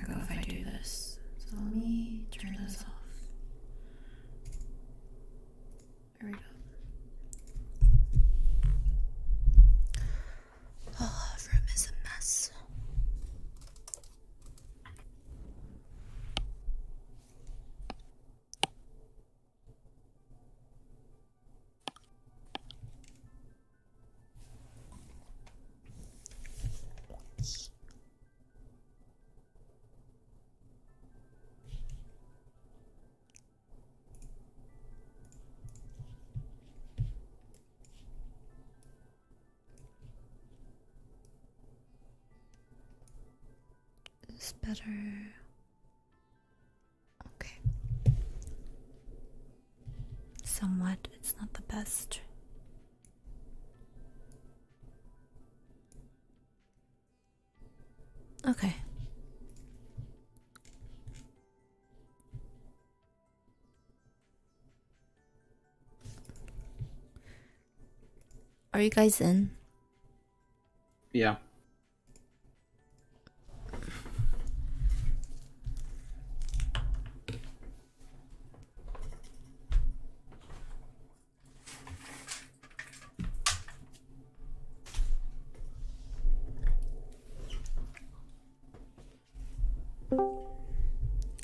go if I do this. So let me turn this off. There we go. Oh, the room is a mess. It's better. Okay. Somewhat, it's not the best Okay. Are you guys in? Yeah.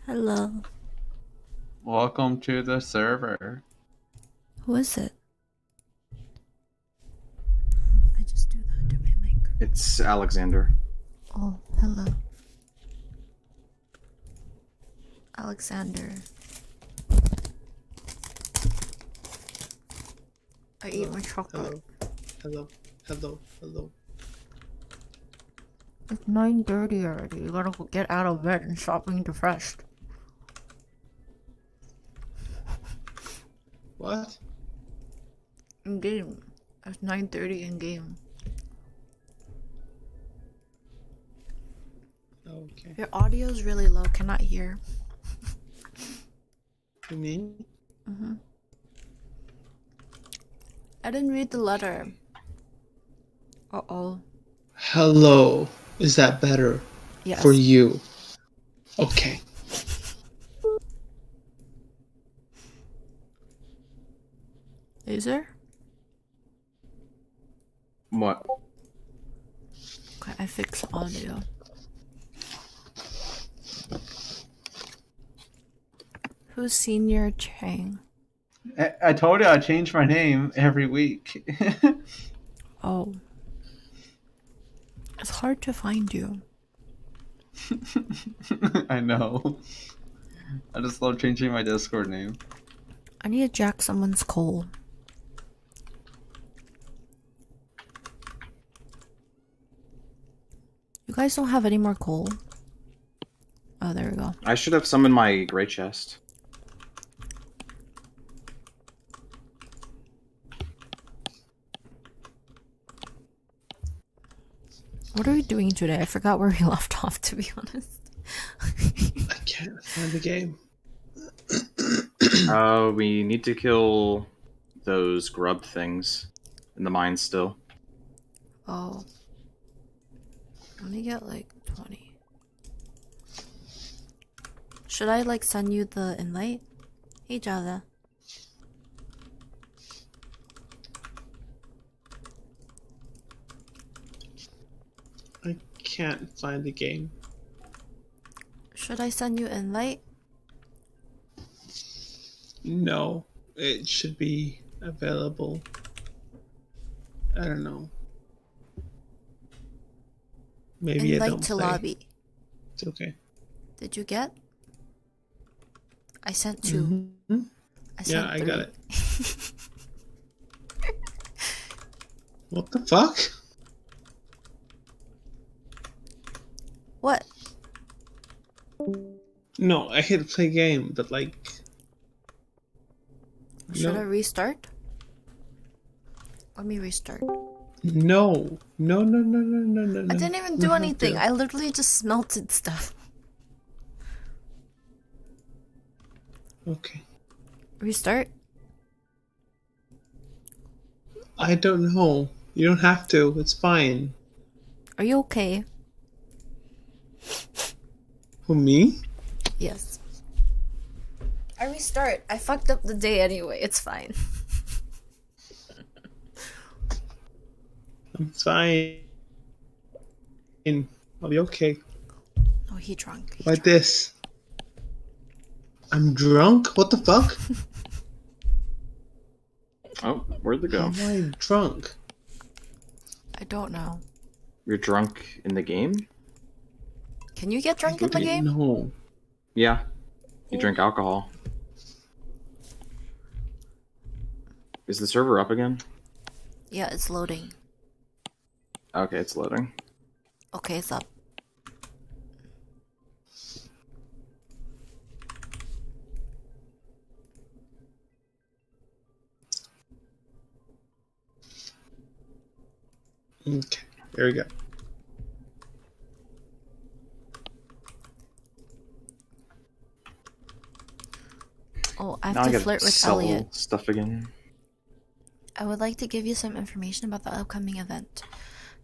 Hello. Welcome to the server. Who is it? I just do that to my It's Alexander. Oh, hello. Alexander. I hello, eat my chocolate. Hello, hello, hello, hello. It's 9.30 already. You gotta get out of bed and stop being depressed. What? Indeed. It's 9.30 in game. Oh, okay. Your audio is really low, cannot hear. you mean? Mm-hmm. I didn't read the letter. Uh-oh. Hello. Is that better? For you. Okay. Laser. What? Okay, I fix audio. Who's Senior Chang? I told you I change my name every week. oh. It's hard to find you. I know. I just love changing my Discord name. I need to jack someone's coal. You guys don't have any more coal? Oh, there we go. I should have some in my gray chest. What are we doing today? I forgot where we left off, to be honest. I can't find the game. uh, we need to kill those grub things in the mine still. Oh. Let me get like 20. Should I like send you the invite? Hey, Jada. I can't find the game. Should I send you in invite? No, it should be available. I don't know. Maybe I don't to lobby. It's okay. Did you get? I sent 2 mm-hmm. I sent yeah, three. I got it. what the fuck? What? No, I hit play game, but like. Should no. I restart? Let me restart. No, no, no, no, no, no, no. I didn't even do no, anything. No. I literally just melted stuff. Okay. Restart? I don't know. You don't have to. It's fine. Are you okay? Who, me? Yes. I restart. I fucked up the day anyway. It's fine. I'm fine. In. I'll be okay. Oh, he drunk. like this. I'm drunk? What the fuck? oh, where'd they go? Am I drunk? I don't know. You're drunk in the game? Can you get drunk in the game? No. Yeah. You drink alcohol. Is the server up again? Yeah, it's loading. Okay, it's loading. Okay, it's up. Okay, there we go. Oh, I have to flirt with Elliot. Stuff again. I would like to give you some information about the upcoming event,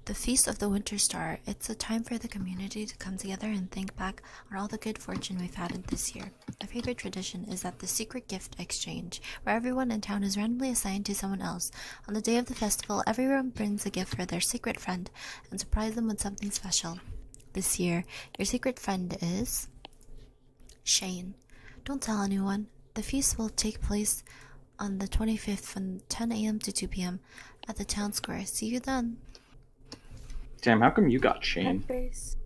the Feast of the Winter Star. It's a time for the community to come together and think back on all the good fortune we've had this year. A favorite tradition is that the secret gift exchange, where everyone in town is randomly assigned to someone else. On the day of the festival, everyone brings a gift for their secret friend and surprise them with something special this year. Your secret friend is Shane. Don't tell anyone. The feast will take place on the 25th from 10 a.m. to 2 p.m. at the town square. See you then. Damn, how come you got Shane? Peppers.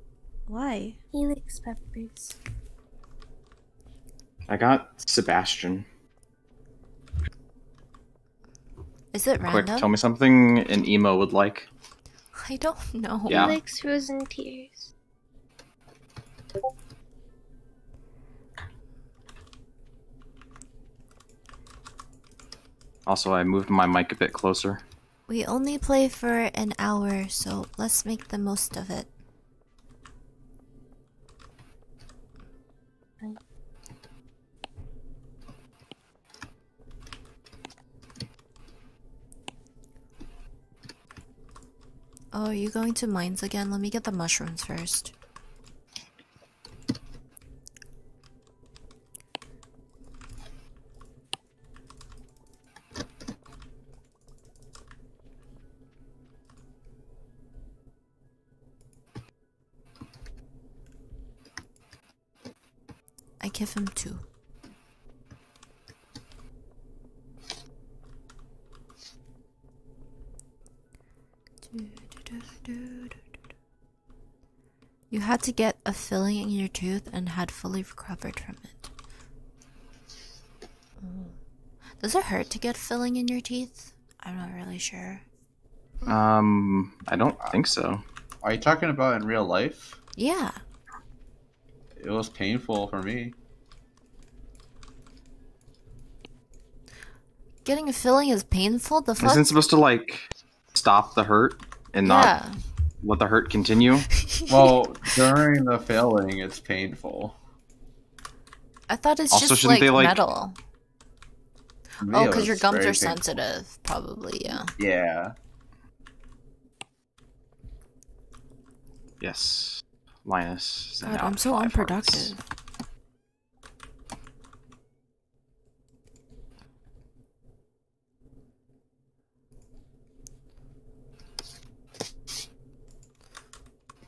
Why? He likes peppers. I got Sebastian. Is it Quick, tell me something an emo would like. I don't know. Yeah. Alex frozen tears. Also, I moved my mic a bit closer. We only play for an hour, so let's make the most of it. Oh, are you going to mines again? Let me get the mushrooms first. I give him two. You had to get a filling in your tooth and had fully recovered from it. Mm. Does it hurt to get filling in your teeth? I'm not really sure. Um, I don't think so. Are you talking about in real life? Yeah. It was painful for me. Getting a filling is painful? The fuck? Isn't supposed to, like, stop the hurt and not let the hurt continue? well, during the filling, it's painful. I thought it's also, just, like, they, metal. oh, because your gums are sensitive, probably, yeah. Yeah. Yes. Linus. God, I'm so unproductive. Hearts.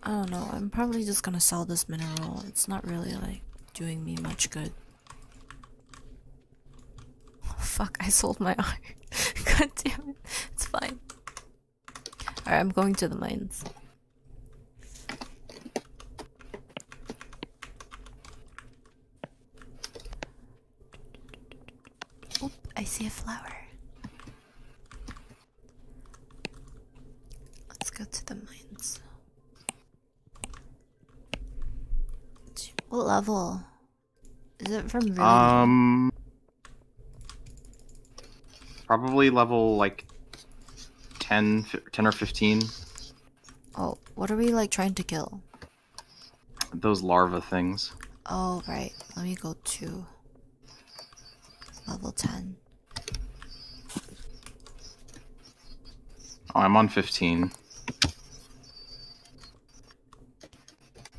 I don't know, I'm probably just gonna sell this mineral. It's not really like doing me much good. Oh, fuck, I sold my art. God damn it. It's fine. Alright, I'm going to the mines. Oop, I see a flower. Let's go to the mines. What level? Is it from Um, probably level like 10, 10 or 15. Oh, what are we like trying to kill? Those larva things. Oh, right. Let me go to level 10. Oh, I'm on 15.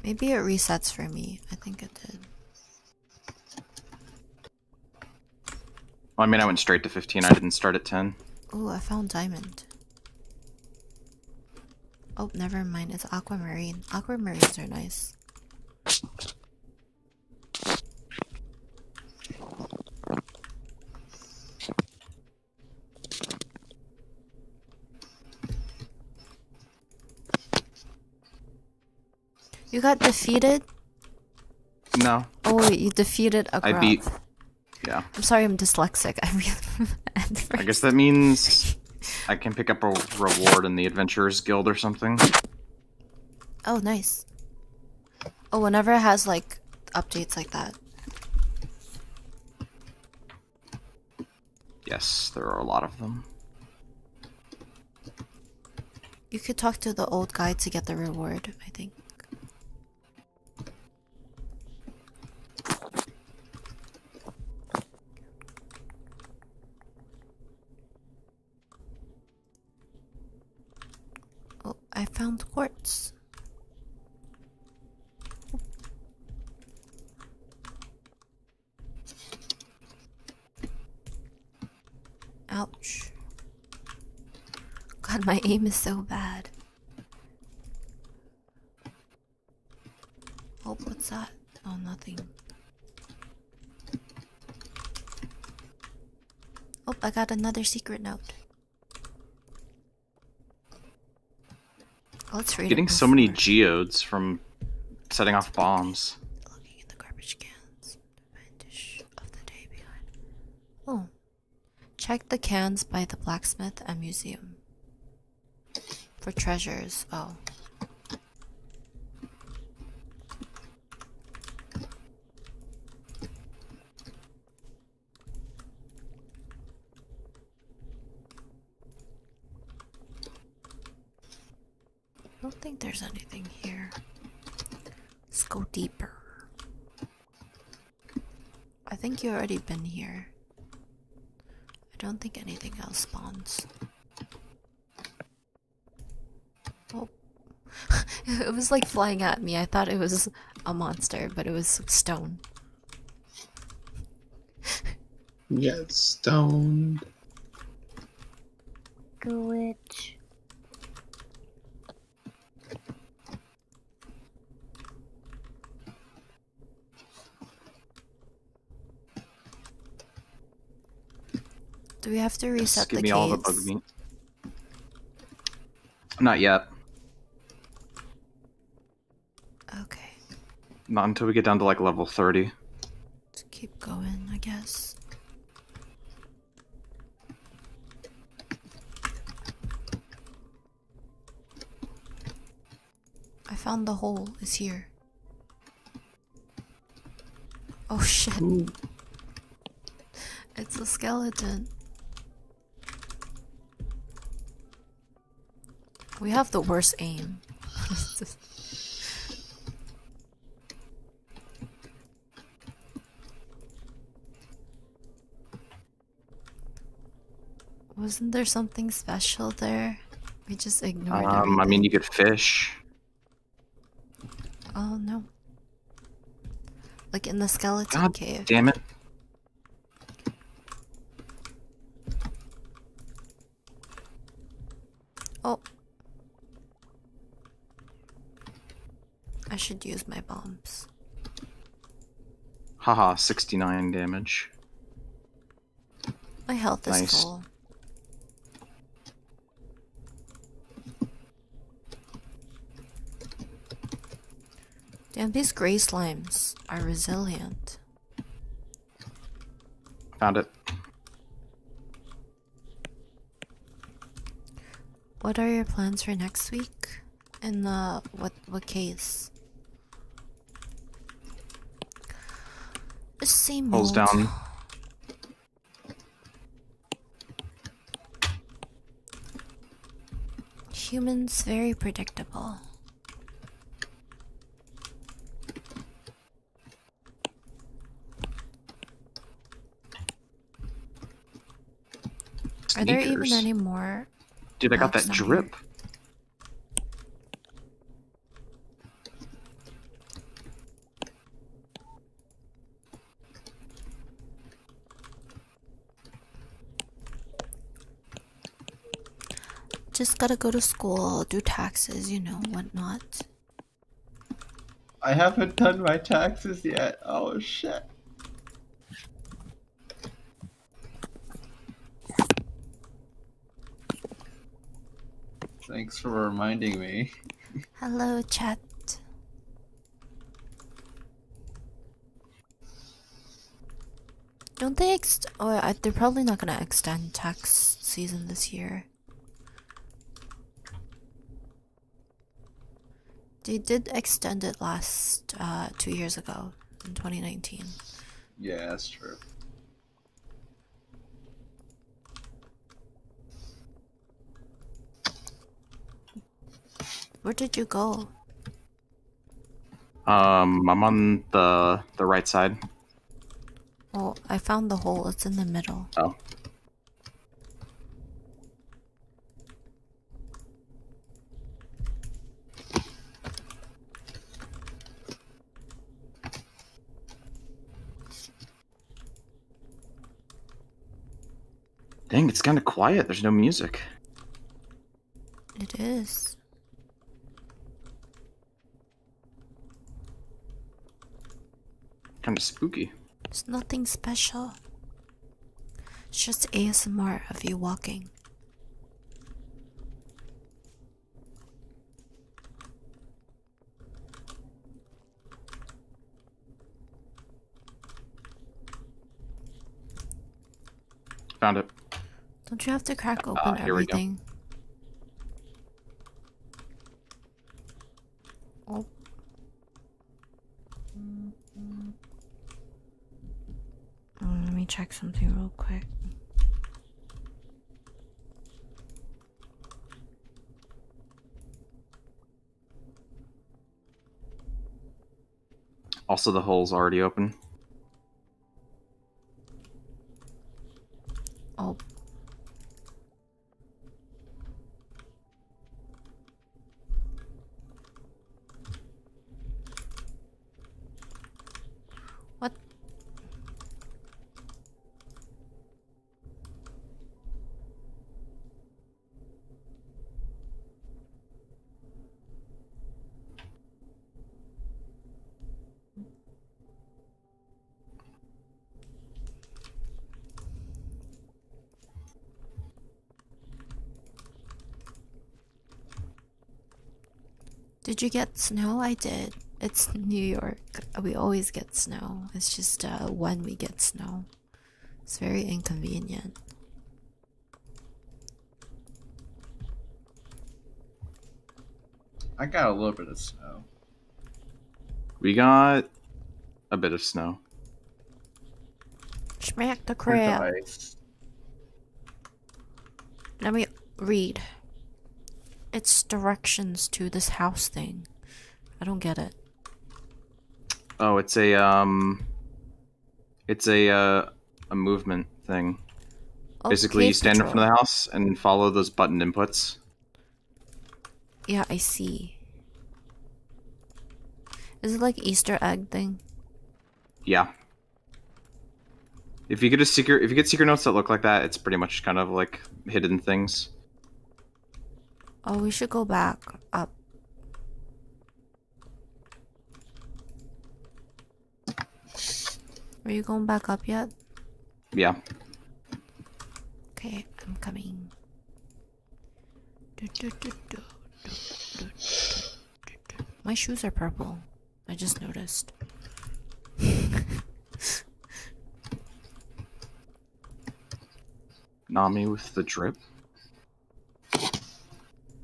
Maybe it resets for me. I think it did. I mean, I went straight to 15. I didn't start at 10. Oh, I found diamond. Oh, never mind. It's aquamarine. Aquamarines are nice. You got defeated? No. Oh, you defeated a I beat. Yeah. I'm sorry, I'm dyslexic. I I guess that means I can pick up a reward in the Adventurers Guild or something. Oh, nice. Oh, whenever it has like updates like that. Yes, there are a lot of them. You could talk to the old guy to get the reward, I think. Oh, I found quartz. Ouch. God, my aim is so bad. Oh, what's that? Oh, nothing. Oh, I got another secret note. Getting so many geodes from setting off bombs. Looking oh, check the cans by the blacksmith and museum for treasures. Oh. I don't think there's anything here. Let's go deeper. I think you already been here. I don't think anything else spawns. Oh. it was like flying at me. I thought it was a monster, but it was stone. Get stoned. Go witch. Do we have to reset Just give me all the bug Not yet. Okay. Not until we get down to like level 30. Let's keep going, I guess. I found the hole is here. Oh shit. It's a skeleton. We have the worst aim. Wasn't there something special there? We just ignored Um, I mean, you could fish. Oh no. Like in the skeleton cave. Damn it. Oh. I should use my bombs. Haha, 69 damage. My health is nice. full. Damn, these gray slimes are resilient. Found it. What are your plans for next week? In the what what case? The same Pulls down. Humans very predictable. Are there even any more? Dude, I got that drip. Just gotta go to school, do taxes, you know, whatnot. I haven't done my taxes yet. Oh shit. Thanks for reminding me. Hello, chat. Don't they ex- oh, they're probably not gonna extend tax season this year. They did extend it last, uh, two years ago, in 2019. Yeah, that's true. Where did you go? Um, I'm on the the right side. Well, I found the hole. It's in the middle. Oh. Dang, it's kind of quiet. There's no music. It is. Kind of spooky. It's nothing special. It's just ASMR of you walking. Found it. Don't you have to crack uh, open everything? Oh. Mm -hmm. oh. Let me check something real quick. Also, the hole's already open. Oh. What? Did you get snow? I did. It's New York. We always get snow. It's just uh, when we get snow. It's very inconvenient. I got a little bit of snow. We got a bit of snow. Smack the crab. Let me read. It's directions to this house thing. I don't get it. Oh, it's a um it's a uh, a movement thing. Basically, you stand in front of the house and follow those button inputs. Yeah, I see. Is it like Easter egg thing? Yeah. If you get a secret, if you get secret notes that look like that, it's pretty much kind of like hidden things. Oh, we should go back up. Are you going back up yet? Yeah. Okay, I'm coming. My shoes are purple. I just noticed. Nami with the drip.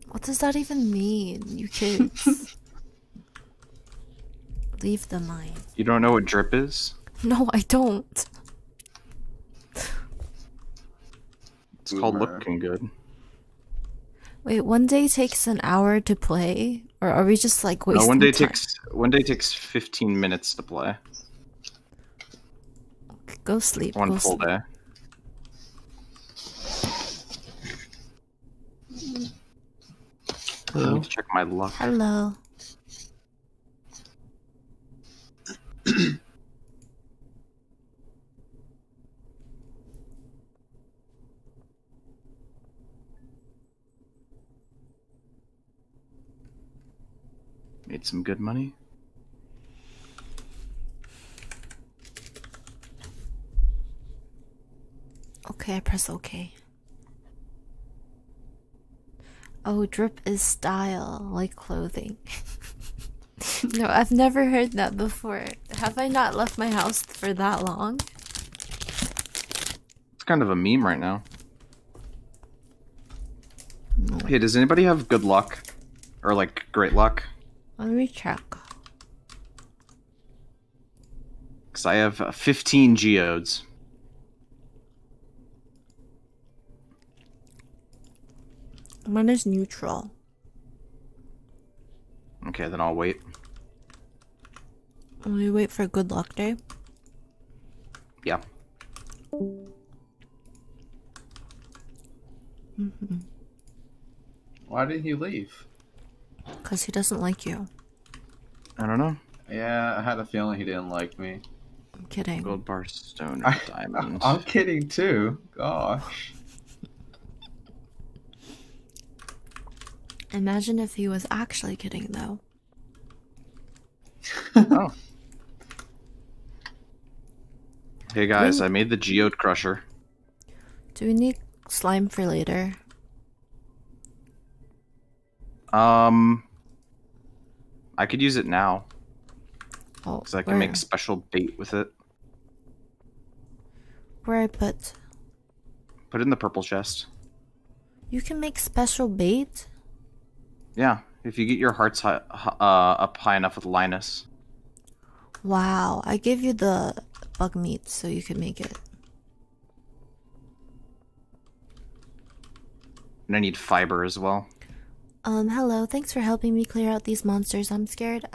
What does that even mean, you kids? Leave the mine. You don't know what drip is? No, I don't. It's called looking good. Wait, one day takes an hour to play, or are we just like wasting no, one day takes one day takes fifteen minutes to play. Go sleep. One go full day. Hello. I check my luck. Hello. Made some good money. Okay, I press okay. Oh, drip is style, like clothing. no, I've never heard that before. Have I not left my house for that long? It's kind of a meme right now. Hey, does anybody have good luck? Or like great luck? Let me check. Because I have 15 geodes. Mine is neutral. Okay, then I'll wait. Will we wait for good luck day? Yeah. -hmm. Why did he leave? Because he doesn't like you. I don't know. Yeah, I had a feeling he didn't like me. I'm kidding. Gold bar, stone, I, I'm kidding too. Gosh. Imagine if he was actually kidding, though. oh. Hey guys, I made the geode crusher. Do we need slime for later? Um, I could use it now. Oh, because I can make special bait with it. Where I put? Put in the purple chest. You can make special bait. Yeah, if you get your hearts uh, up high enough with Linus. Wow, I gave you the bug meat so you could make it. And I need fiber as well. Um, hello, thanks for helping me clear out these monsters. I'm scared.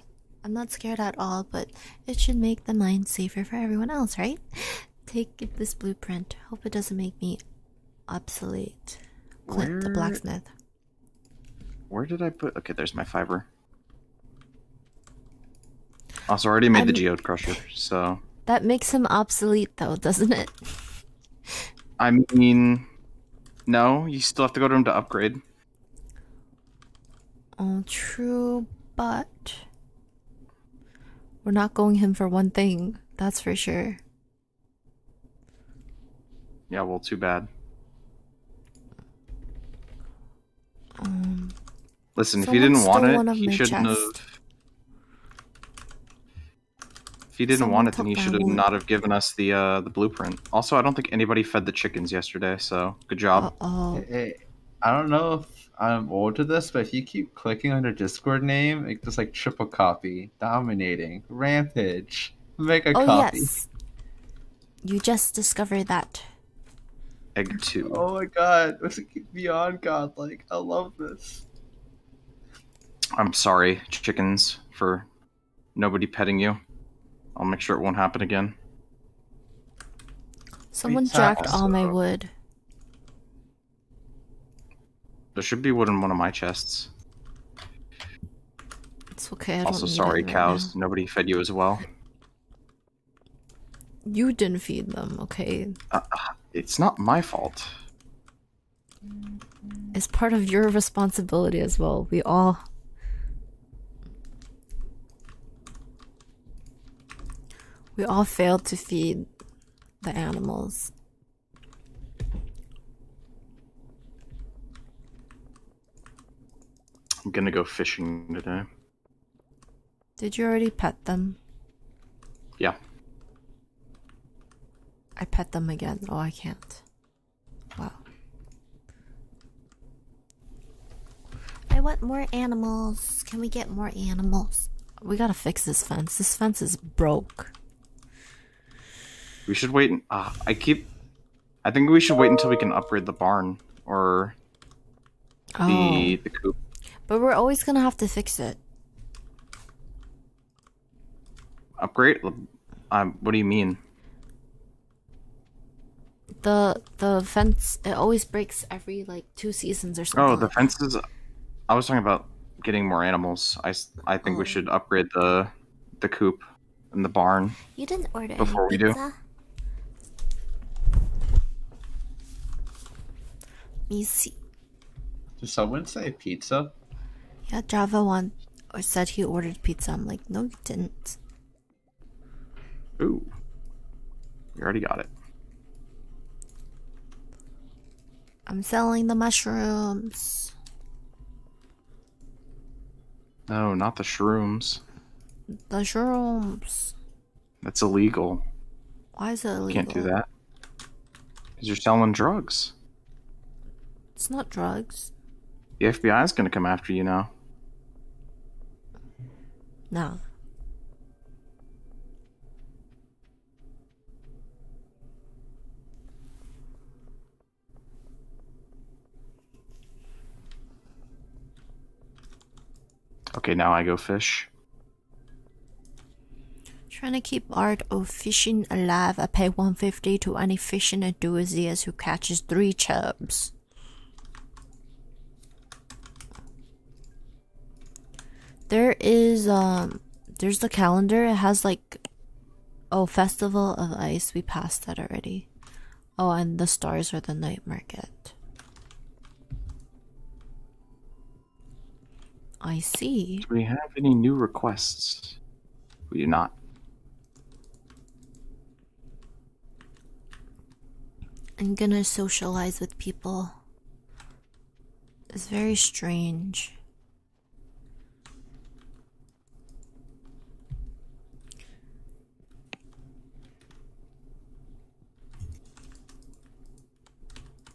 I'm not scared at all, but it should make the mine safer for everyone else, right? Take this blueprint. Hope it doesn't make me obsolete. Clint the blacksmith. Where did I put? Okay, there's my fiber. Also, already made the um, Geode Crusher, so. That makes him obsolete, though, doesn't it? I mean, no, you still have to go to him to upgrade. Oh, true, but we're not going him for one thing. That's for sure. Yeah, well, too bad. Um, Listen, if you didn't want it, he shouldn't have. If he didn't want it, then he should have not have given us the uh, the blueprint. Also, I don't think anybody fed the chickens yesterday, so good job. I don't know if I'm old to this, but if you keep clicking on a Discord name, it just like triple copy, dominating, rampage, mega oh, copy. You just discovered that. Egg two. Oh my god, this is beyond godlike. I love this. I'm sorry, chickens, for nobody petting you. I'll make sure it won't happen again. Someone jacked all my wood. There should be wood in one of my chests. It's okay. I also, sorry, cows. Nobody fed you as well. You didn't feed them, okay? Uh, it's not my fault. It's part of your responsibility as well. We all. We all failed to feed the animals. I'm gonna go fishing today. Did you already pet them? Yeah. I pet them again. Oh, I can't. Wow. I want more animals. Can we get more animals? We gotta fix this fence. This fence is broke. We should wait. And, uh, I keep I think we should wait until we can upgrade the barn or the oh. the coop. But we're always gonna have to fix it. Upgrade? Um, what do you mean? The the fence it always breaks every like two seasons or oh, something. Oh, the fences. I was talking about getting more animals. I I think we oh. should upgrade the the coop in the barn. You didn't order before we pizza? do. me see. Did someone say pizza? Yeah, Java one or said he ordered pizza. I'm like, no, he didn't. Ooh, you already got it. I'm selling the mushrooms. No, oh, not the shrooms. The shrooms. That's illegal. Why is it illegal? You can't do that. Because you're selling drugs. It's not drugs. The FBI is going to come after you now. No. Okay, now I go fish. Trying to keep art of fishing alive. I pay 150 to any fishing enthusiast who catches three chubs. There is um there's the calendar. It has like oh festival of ice. We passed that already. Oh, and the stars are the night market. I see. Do we have any new requests? We do not. I'm gonna socialize with people. It's very strange.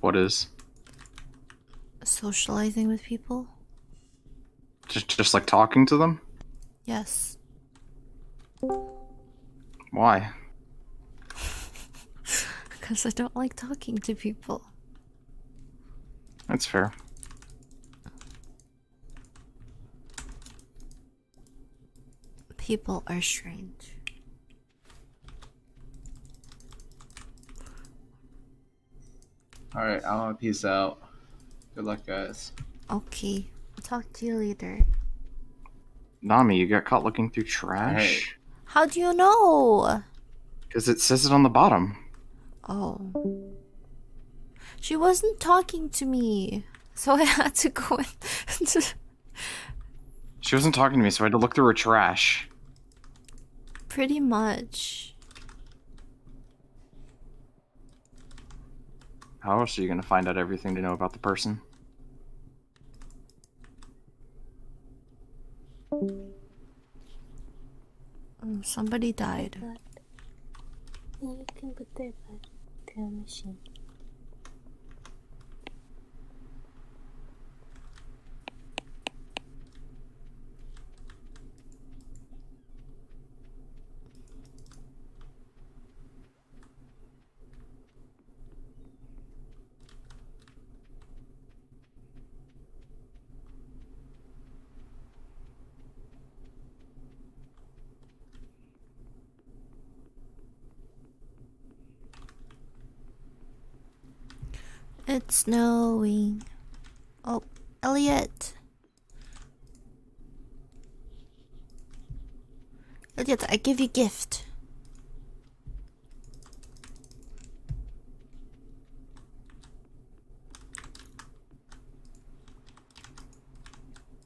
What is? Socializing with people. Just, just like talking to them? Yes. Why? Because I don't like talking to people. That's fair. People are strange. Alright, I'm gonna peace out. Good luck, guys. Okay, I'll talk to you later. Nami, you got caught looking through trash? How do you know? Because it says it on the bottom. Oh. She wasn't talking to me so I had to go and. she wasn't talking to me, so I had to look through her trash. Pretty much. How else are you going to find out everything to know about the person? Mm, somebody died and you can put that back to machine. It's snowing. Oh, Elliot. Elliot, I give you gift.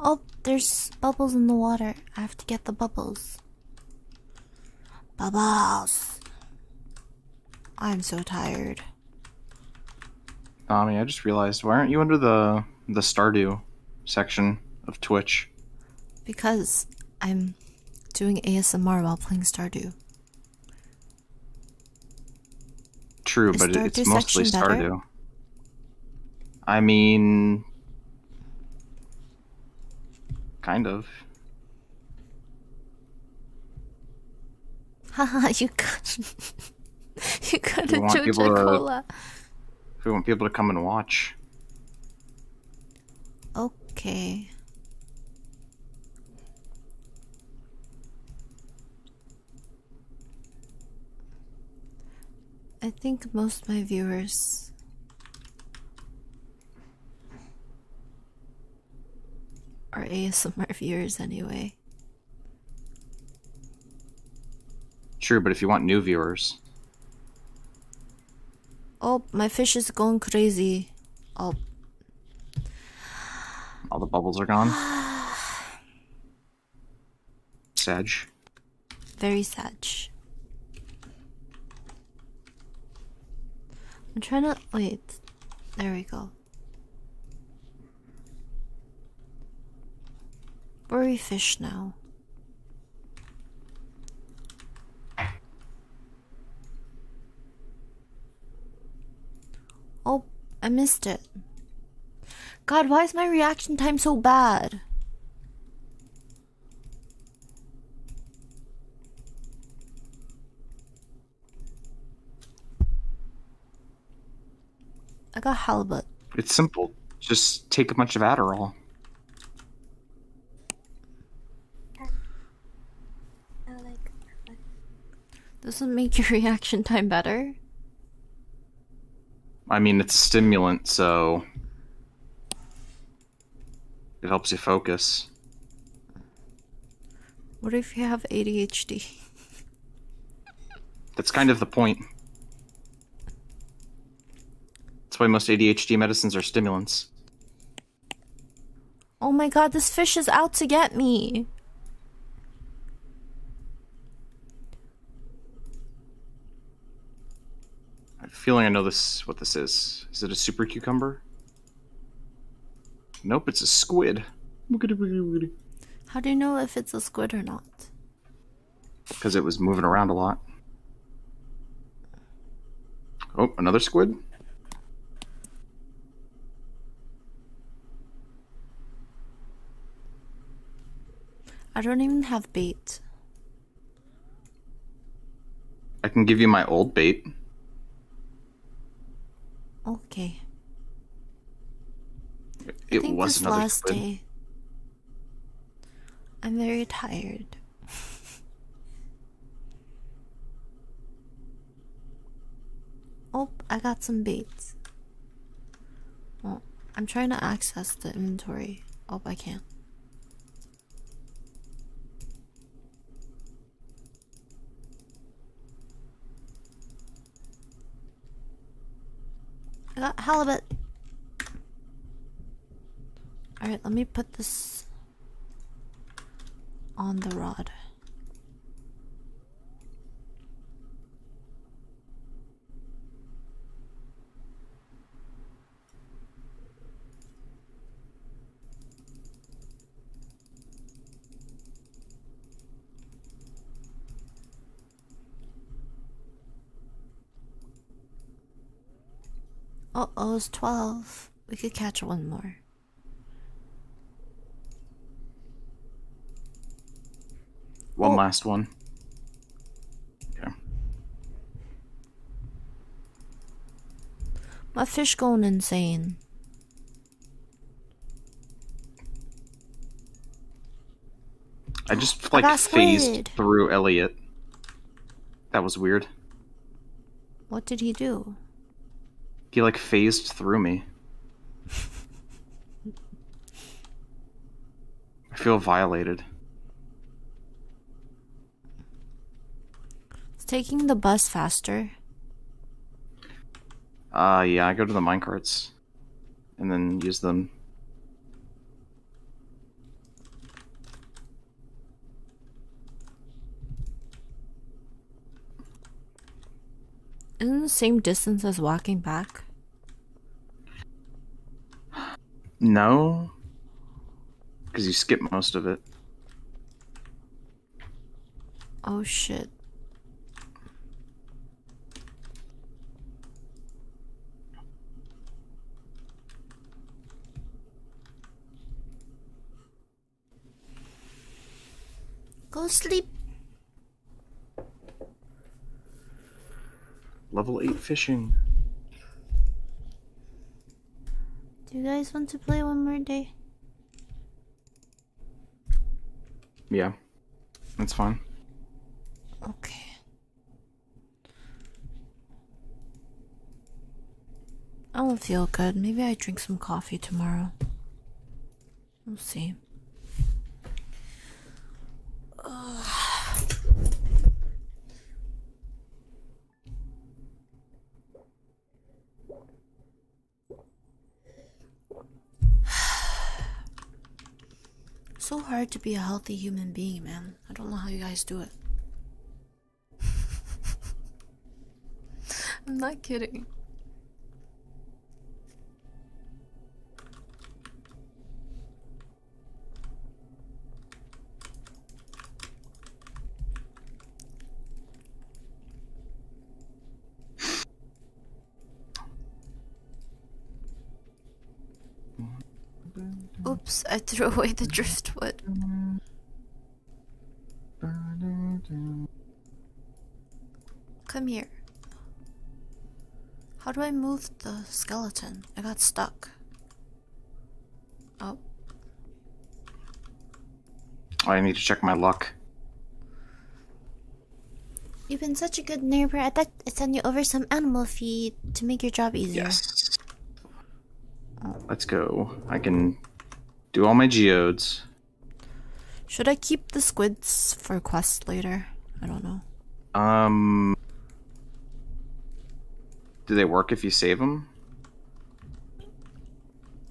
Oh, there's bubbles in the water. I have to get the bubbles. Bubbles. I'm so tired. Ami, I just realized why aren't you under the the Stardew section of Twitch? Because I'm doing ASMR while playing Stardew. True, but it's mostly Stardew. I mean, kind of. Haha, you got you got a Joja Cola. we want people to come and watch. Okay. I think most my viewers are ASMR viewers anyway. True, but if you want new viewers. Oh, my fish is going crazy. Oh. All the bubbles are gone? Sag. Very sag. I'm trying to wait. There we go. Where we fish now. Oh, I missed it. God, why is my reaction time so bad? I got halibut. It's simple. Just take a bunch of Adderall. Doesn't make your reaction time better? I mean, it's a stimulant, so it helps you focus. What if you have ADHD? That's kind of the point. That's why most ADHD medicines are stimulants. Oh my god, this fish is out to get me. I have a feeling I know this. what this is. Is it a super cucumber? Nope, it's a squid. How do you know if it's a squid or not? Because it was moving around a lot. Oh, another squid? I don't even have bait. I can give you my old bait. Okay. It I think was this last day. I'm very tired. oh, I got some baits. Well, I'm trying to access the inventory. Oh, I can I got halibut. Alright, let me put this on the rod. Oh, oh, it's 12. We could catch one more. One oh. last one. My fish going insane. I just like phased through Elliot. That was weird. What did he do? He like phased through me. I feel violated. It's taking the bus faster? Uh, yeah, I go to the minecarts and then use them. Isn't the same distance as walking back? No. Because you skip most of it. Oh shit. Go sleep. Level 8 fishing. Do you guys want to play one more day? Yeah, that's fine. Okay. I don't feel good. Maybe I drink some coffee tomorrow. We'll see so hard to be a healthy human being, man. I don't know how you guys do it. I'm not kidding. Oops, I threw away the driftwood. Come here. How do I move the skeleton? I got stuck. Oh. oh. I need to check my luck. You've been such a good neighbor. I thought I'd send you over some animal feed to make your job easier. Yes. Let's go. I can do all my geodes. Should I keep the squids for quests later? I don't know. Um, do they work if you save them?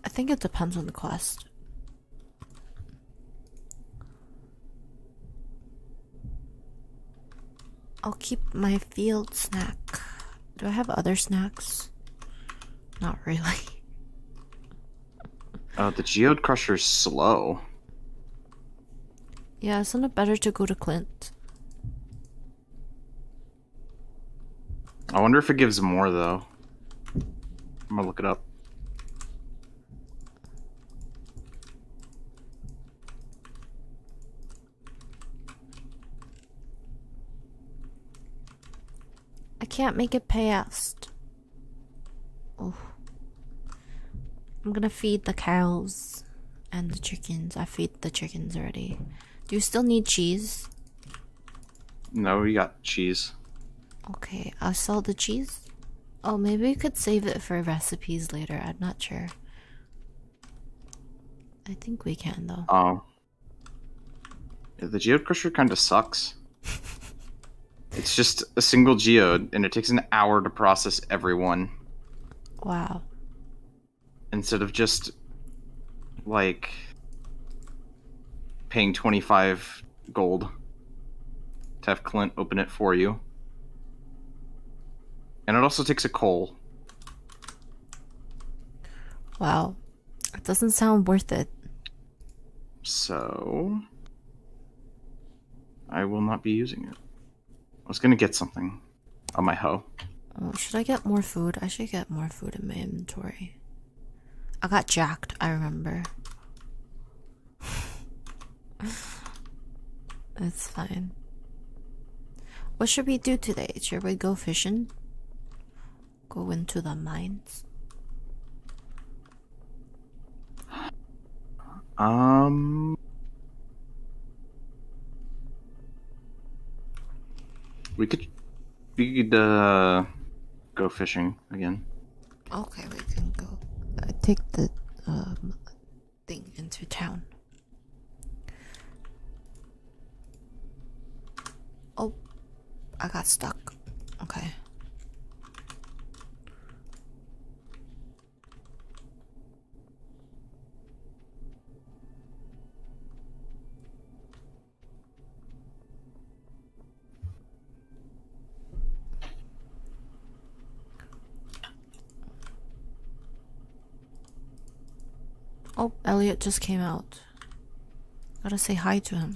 I think it depends on the quest. I'll keep my field snack. Do I have other snacks? Not really. Uh, the geode crusher is slow. Yeah, isn't it better to go to Clint? I wonder if it gives more though. I'm gonna look it up. I can't make it past. Oh. I'm gonna feed the cows and the chickens. I feed the chickens already. Do you still need cheese? No, we got cheese. Okay, I'll sell the cheese. Oh, maybe we could save it for recipes later. I'm not sure. I think we can though. Oh. the geode crusher kind of sucks. it's just a single geode, and it takes an hour to process everyone. Wow. Instead of just like paying 25 gold to have Clint open it for you. And it also takes a coal. Wow. It doesn't sound worth it. So. I will not be using it. I was gonna get something on my hoe. Um, should I get more food? I should get more food in my inventory. I got jacked, I remember. That's fine. What should we do today? Should we go fishing? Go into the mines? Um. We could, we could uh, go fishing again. Okay, we can go. I uh, take the um, thing into town. Oh, I got stuck. Okay. Oh, Elliot just came out. Gotta say hi to him.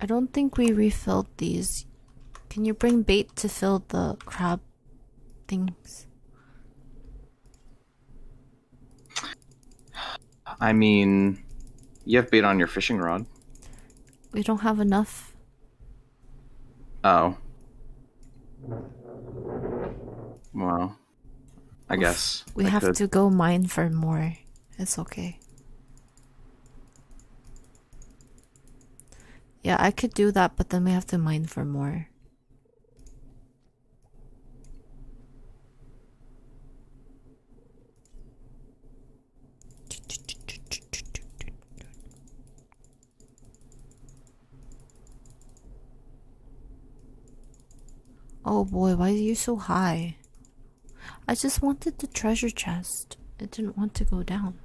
I don't think we refilled these. Can you bring bait to fill the crab things? I mean, you have bait on your fishing rod. We don't have enough. Oh. Well, I guess we have to go mine for more. It's okay. Yeah, I could do that, but then we have to mine for more. Oh boy, why are you so high? I just wanted the treasure chest. It didn't want to go down.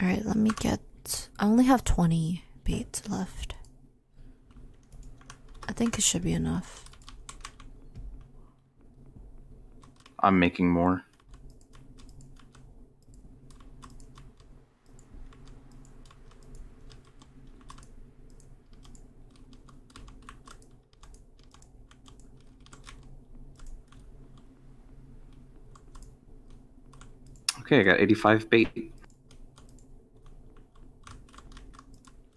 Alright, let me get. I only have 20 baits left. I think it should be enough. I'm making more. Okay, I got 85 bait.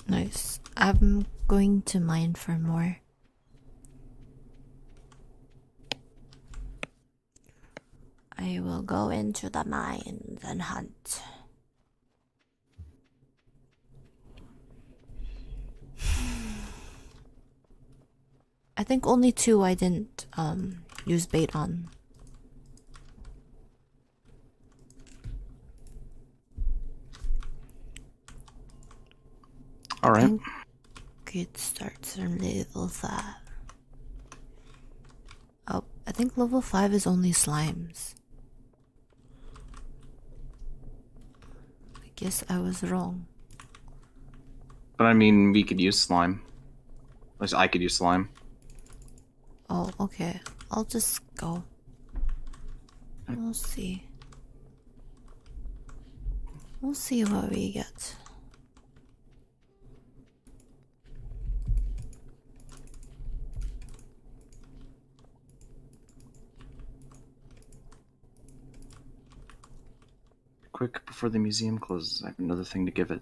Nice. I'm going to mine for more. I will go into the mines and hunt. I think only two I didn't um use bait on. All right. Could starts from level five. Oh, I think level five is only slimes. I guess I was wrong. But I mean, we could use slime. At least I could use slime. Oh, okay. I'll just go. We'll see. We'll see what we get. Quick before the museum closes, I have another thing to give it.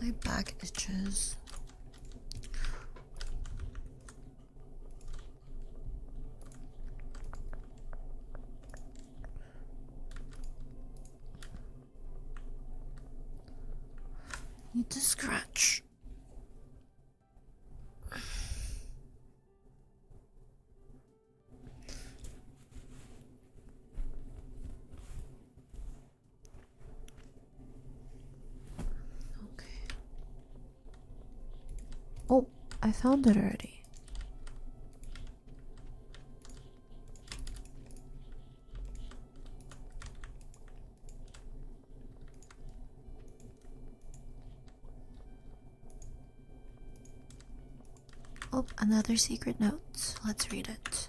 My back itches. Need to scratch. Okay. Oh, I found it already. Oh, another secret note. Let's read it.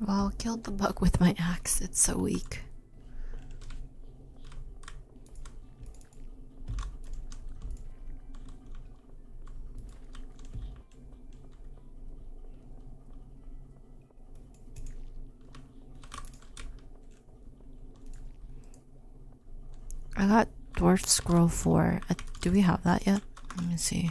Well, killed the bug with my axe. It's so weak. I got dwarf scroll 4. Uh, do we have that yet? Let me see.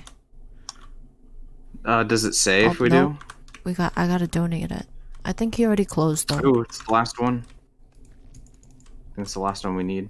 Uh, does it say if oh, we do? We got. I gotta donate it. I think he already closed though. Oh, it's the last one. I think it's the last one we need.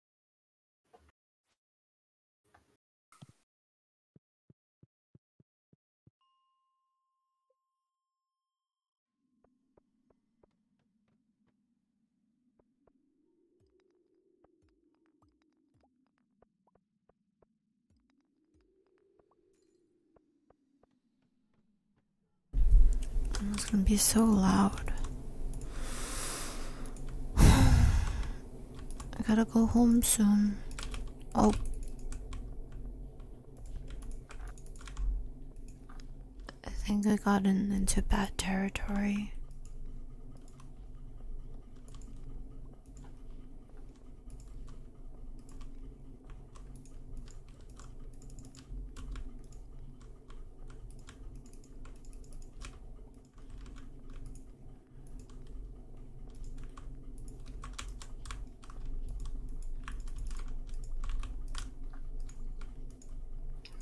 It's gonna be so loud. I gotta go home soon. Oh. I think I got in, into bad territory.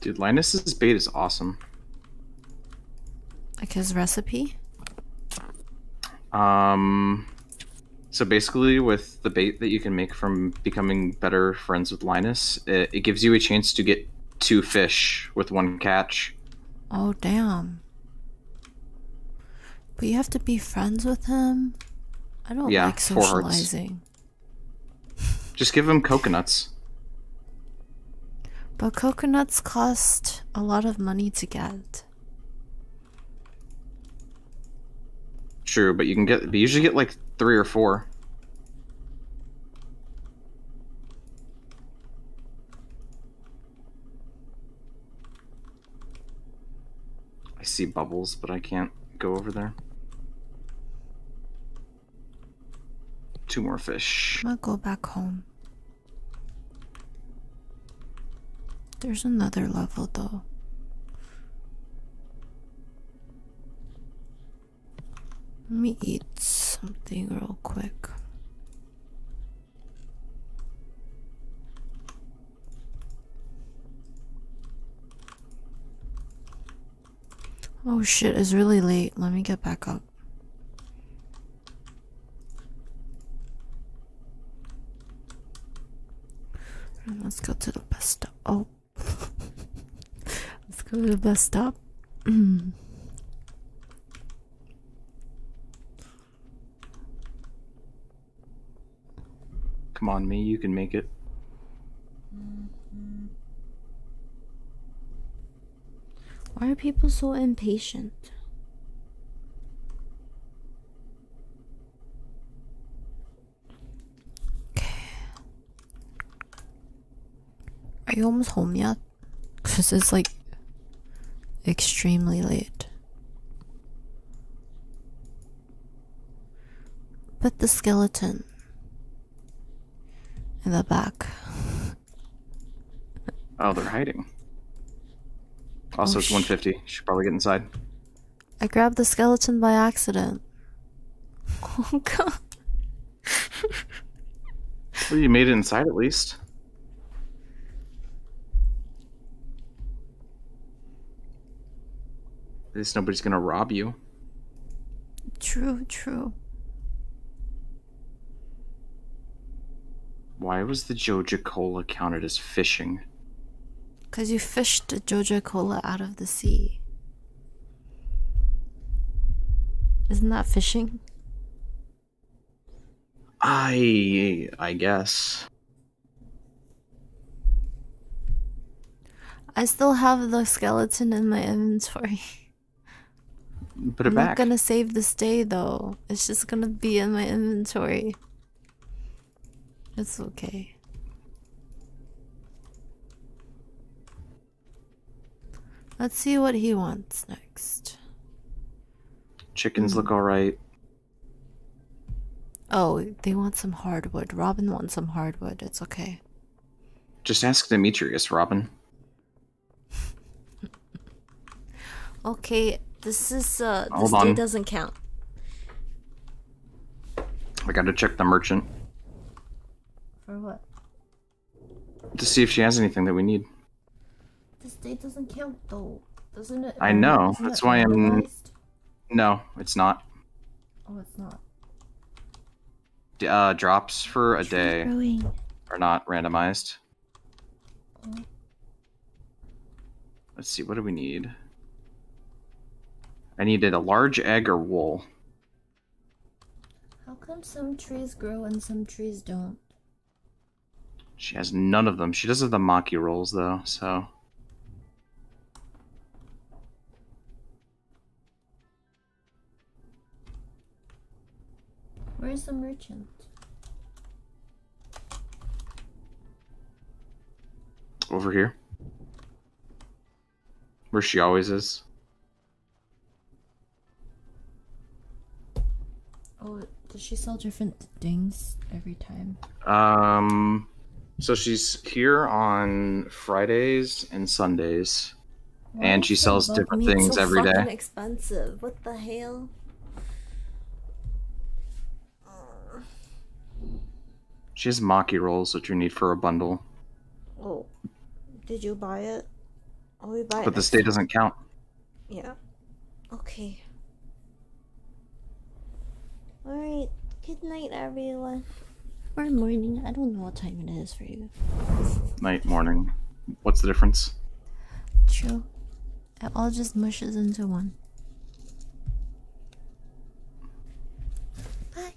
Dude, Linus's bait is awesome. Like his recipe? Um, so basically, with the bait that you can make from becoming better friends with Linus, it, gives you a chance to get two fish with one catch. Oh, damn. But you have to be friends with him? I don't like socializing. Just give him coconuts. But coconuts cost a lot of money to get. True, but you can get, you usually get like three or four. I see bubbles, but I can't go over there. Two more fish. I'm gonna go back home. There's another level though. Let me eat something real quick. Oh shit, it's really late. Let me get back up. let's go to the bus stop. Oh. let's go to the bus stop. Come on, me, you can make it. Why are people so impatient? Okay. Are you almost home yet? Cause it's like extremely late. But the skeleton in the back. Oh, they're hiding. Also, it's 150. Should probably get inside. I grabbed the skeleton by accident. Oh god well, you made it inside at least. At least nobody's gonna rob you. True, true. Why was the Joja Cola counted as fishing? Because you fished the Joja Cola out of the sea. Isn't that fishing? I I guess. I still have the skeleton in my inventory. Put I'm not gonna save this day though. It's just gonna be in my inventory. It's okay. Let's see what he wants next. Chickens look hmm. all right. Oh, they want some hardwood. Robin wants some hardwood. It's okay. Just ask Demetrius, Robin. okay, this is uh Hold this on. doesn't count. I gotta check the merchant. For what? to see if she has anything that we need. This date doesn't count though, doesn't it? I know. That's why I'm. No, it's not. Oh, it's not. Uh, drops for a day are not randomized. Oh. Let's see. What do we need? I needed a large egg or wool. How come some trees grow and some trees don't? She has none of them. She does have the mocky rolls, though, so... Where's the merchant? Over here. Where she always is. Oh, does she sell different things every time? Um, so she's here on Fridays and Sundays, and she sells different things every day. Expensive. What the hell? She has maki rolls that you need for a bundle. Oh, did you buy it? But the state doesn't count. Yeah. Okay. All right. Good night, everyone. Or morning. I don't know what time it is for you. Night, morning. What's the difference? True. It all just mushes into one. Bye.